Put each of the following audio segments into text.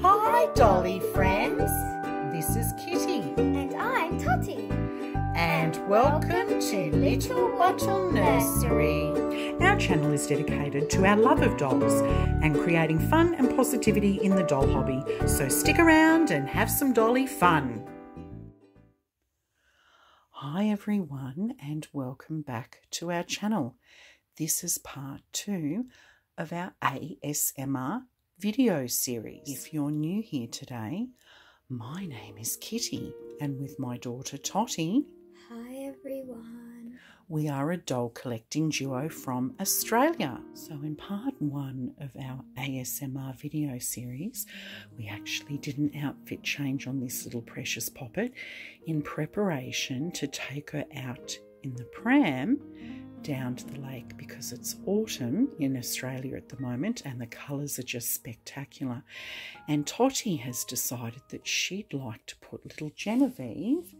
Hi, Dolly friends. This is Kitty. And I'm Totty. And welcome, to Little Bottle Nursery. Our channel is dedicated to our love of dolls and creating fun and positivity in the doll hobby. So stick around and have some dolly fun. Hi everyone and welcome back to our channel. This is part two of our ASMR video series. If you're new here today, my name is Kitty, and with my daughter Totty. Hi, everyone. We are a doll collecting duo from Australia. So, in part one of our ASMR video series, we actually did an outfit change on this little precious poppet in preparation to take her out in the pram down to the lake because it's autumn in Australia at the moment and the colours are just spectacular. And Totty has decided that she'd like to put little Genevieve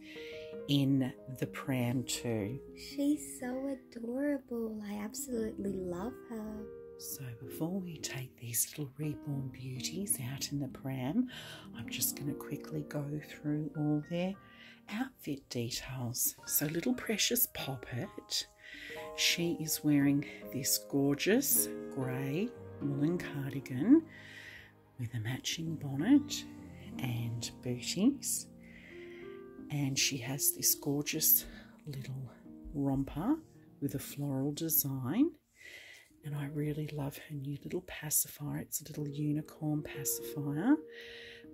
in the pram too. She's so adorable. I absolutely love her. So before we take these little reborn beauties out in the pram, I'm just going to quickly go through all their outfit details. So, little precious Poppet, she is wearing this gorgeous grey woolen cardigan with a matching bonnet and booties, and she has this gorgeous little romper with a floral design and I really love her new little pacifier. It's a little unicorn pacifier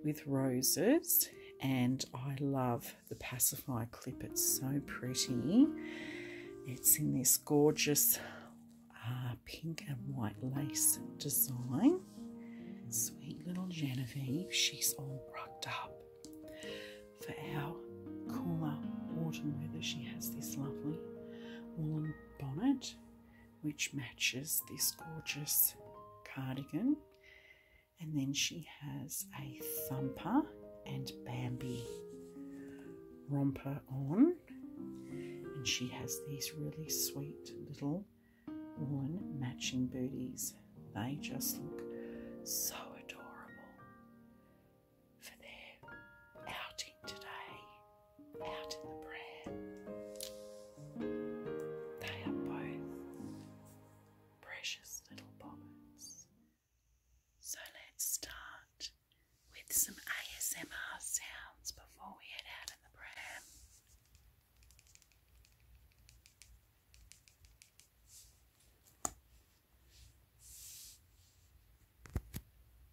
with roses. And I love the pacifier clip. It's so pretty. It's in this gorgeous uh, pink and white lace design. Sweet little Genevieve, she's all rucked up for our cooler autumn weather. She has this lovely woolen bonnet, which matches this gorgeous cardigan. And then she has a thumper and Bambi romper on. And she has these really sweet little woolen matching booties. They just look so adorable for their outing today out in the brand. They are both precious little bobbins. So let's start with some ASMR sounds before we head out in the pram.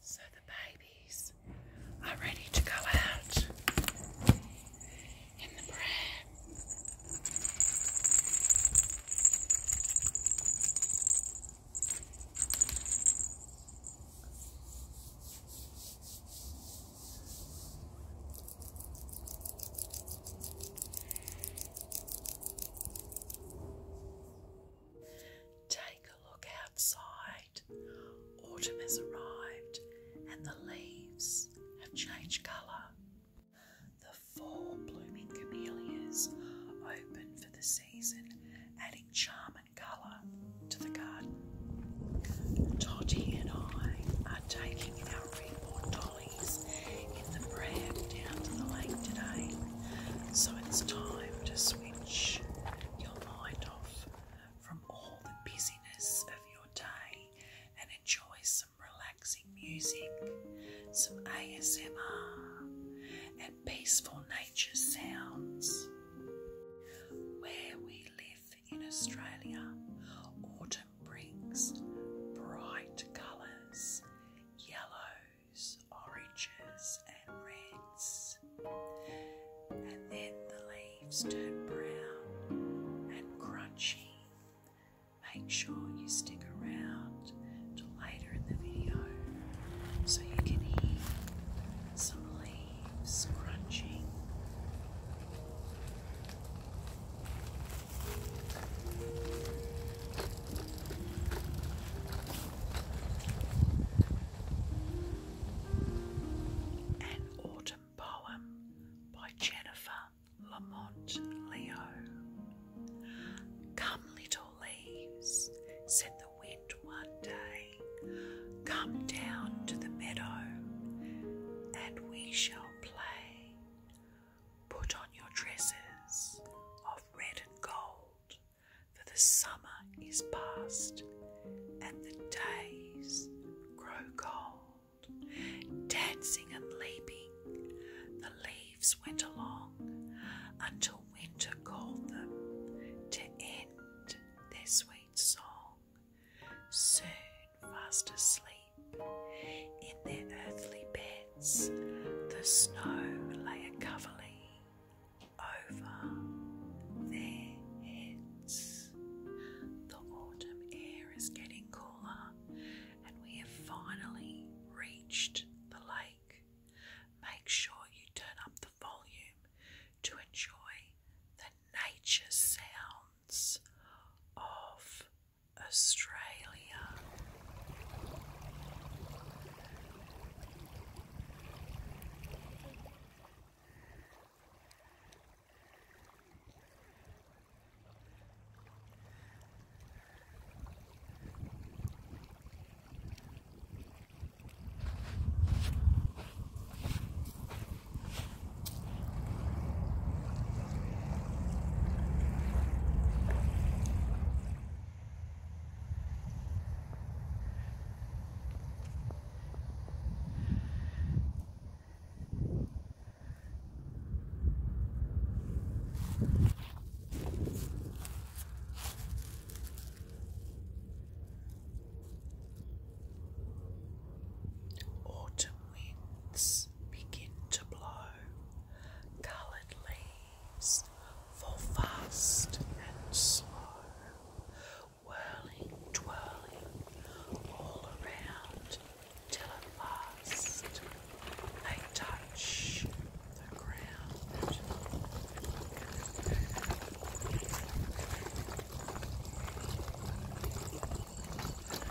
So the babies are ready to go out in the pram. Take a look outside. Autumn has arrived and the leaves have changed colour. The four blooming camellias open for the season, adding charm and colour to the garden. Totty and I are taking our reborn dog in the brand down to the lake today. So it's time to switch your mind off from all the busyness of your day and enjoy some relaxing music, some ASMR, and peaceful nature sounds. Where we live in Australia, autumn brings bright colours yellows, oranges, and reds. And then the leaves turn brown and crunchy. Make sure you stick around till later in the video so you can hear some leaves crunching. An Autumn Poem by Jennifer Lamont Leo. Come, little leaves, said the wind one day, come down to the meadow, and we shall play. Put on your dresses of red and gold, for the summer is past and the days grow cold. Dancing and leaping, the leaves went along until winter called them to end their sweet song. Soon, fast asleep. In their earthly beds, the snow lay a covering over their heads. The autumn air is getting cooler, and we have finally reached the lake. Make sure you turn up the volume to enjoy the nature sounds of Australia. Autumn winds begin to blow colored leaves fall fast and slow, whirling, twirling all around till at last they touch the ground.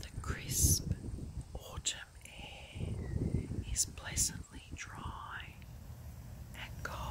The crisp autumn autumn eh, is pleasantly dry and cold.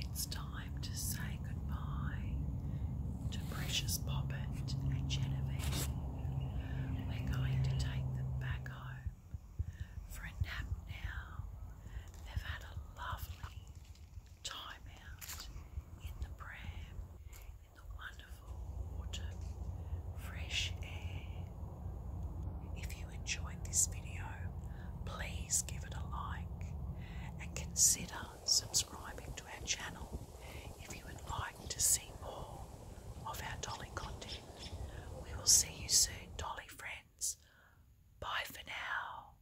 It's time to say goodbye to Precious Poppet and Genevieve. We're going to take them back home for a nap now. They've had a lovely time out in the pram, in the wonderful water, fresh air, if you enjoyed this video, please give it a like and consider subscribing to our channel if you would like to see more of our Dolly content. We will see you soon, Dolly friends. Bye for now.